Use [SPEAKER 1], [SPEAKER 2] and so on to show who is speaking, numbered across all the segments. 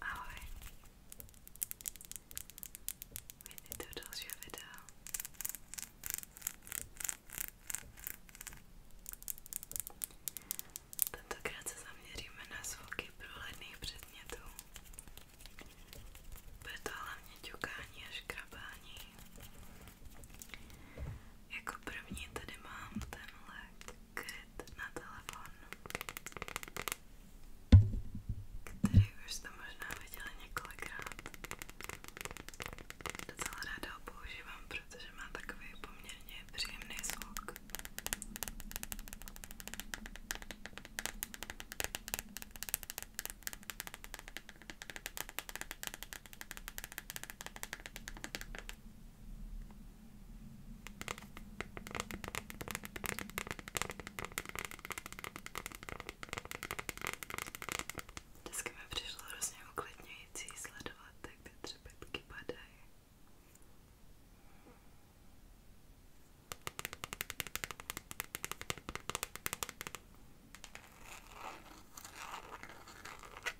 [SPEAKER 1] Ahoj. Vítejte u dalšího videa. Tentokrát se zaměříme na zvuky průhledných předmětů. Bude to hlavně ťukání a škrabání. Jako první tady mám tenhle kryt na telefon, který už jste možná viděli několikrát. Docela ráda ho používám, protože má takový poměrně příjemný zvuk. Dneska mi přišlo hrozně uklidňující sledovat, jak ty třepetky padají.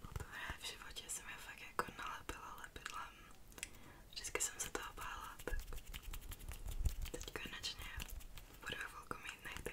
[SPEAKER 1] Poprvé v životě jsem je fakt jako nalepila lepidlem. Vždycky jsem se toho bála, tak teď konečně budu chvilku mít nejty.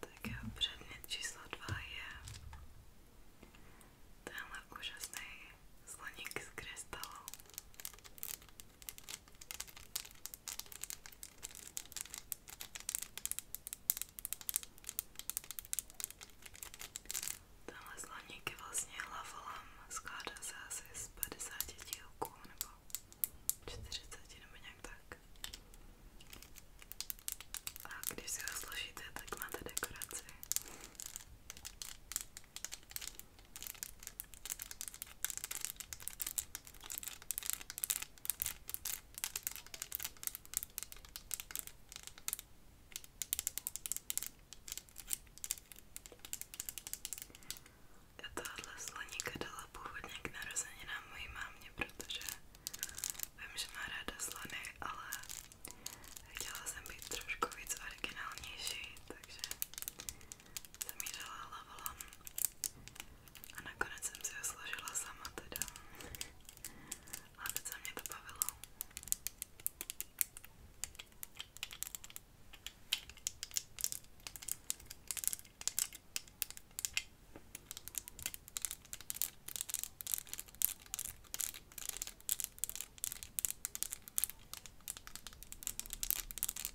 [SPEAKER 2] Tak jo, předmět číslo dva je tenhle úžasný sloník z krystalu. Tenhle slaník je vlastně hlavolam, skládá se asi z 50 dílků nebo 40 nebo nějak tak.
[SPEAKER 3] A když si ho složíte, tak máte dekoraci. A tahle sloníka dala původně k narozeninám mojí mámě, protože vím, že má ráda slony, ale chtěla jsem být trošku víc originálnější, takže jsem jí dala lavalon a nakonec jsem si ho složila sama teda. A teď se mě to bavilo.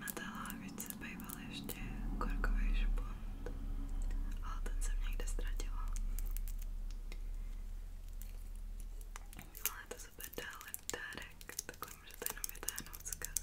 [SPEAKER 4] Na té lávici býval ještě korkový špunt, ale ten jsem někde ztratila. Ale to super dále dárek, takhle můžete jenom vytáhnout zkaz.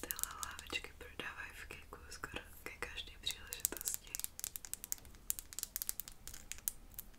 [SPEAKER 4] Tyhle lávičky prodávají v Kiku skoro ke každé příležitosti.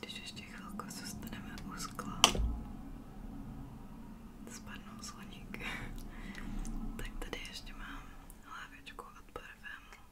[SPEAKER 1] Když ještě chvilku zůstaneme u skla, spadnou sloníky, tak tady ještě mám hlávičku od parfému.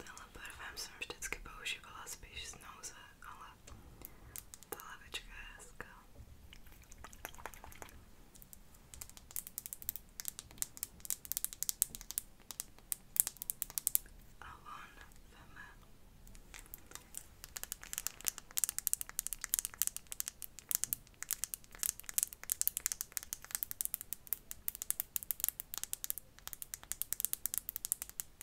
[SPEAKER 1] Tenhle parfém jsem vždycky používala spíš z nouze, ale ta lavička je hezká. A on veme.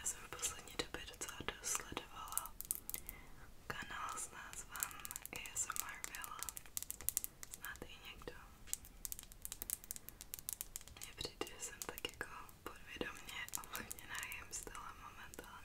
[SPEAKER 1] Já jsem v poslední době docela dosledovala Kanál s názvem ASMR Villa. Znáte i někdo? Mně přijde, že jsem tak jako podvědomě ovlivněná jim stylem momentálně.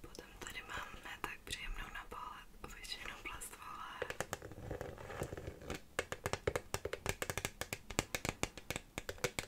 [SPEAKER 1] Potom tady máme tak příjemnou na pohled obyčejnou plastovou láhev.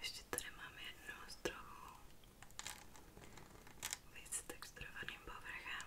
[SPEAKER 2] Ještě tady máme jednu s trochu víc texturovaným povrchem.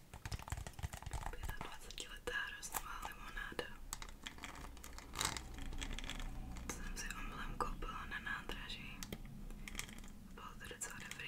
[SPEAKER 2] 25letá hroznová limonáda. To jsem si omylem koupila na nádraží. Bylo to docela dobrý.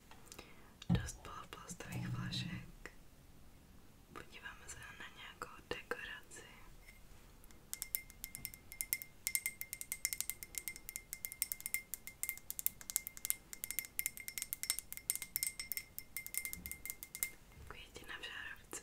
[SPEAKER 2] Dost bylo plastových flašek. Podíváme se na nějakou dekoraci. Květi na žárovce.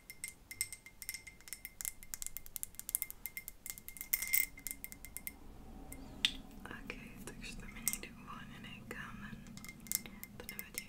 [SPEAKER 2] Ok, takže tam je někde uvolněný kámen. To nevadí.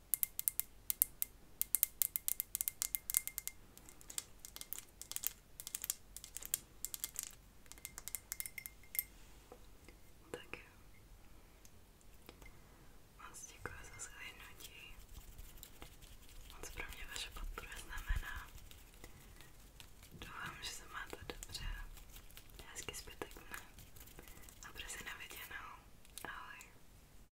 [SPEAKER 2] Tak jo. Moc děkuji za zhlédnutí. Moc pro mě vaše podpora znamená. Doufám, že se máte dobře. Hezky zbytek dne. A brzy na viděnou. Ahoj.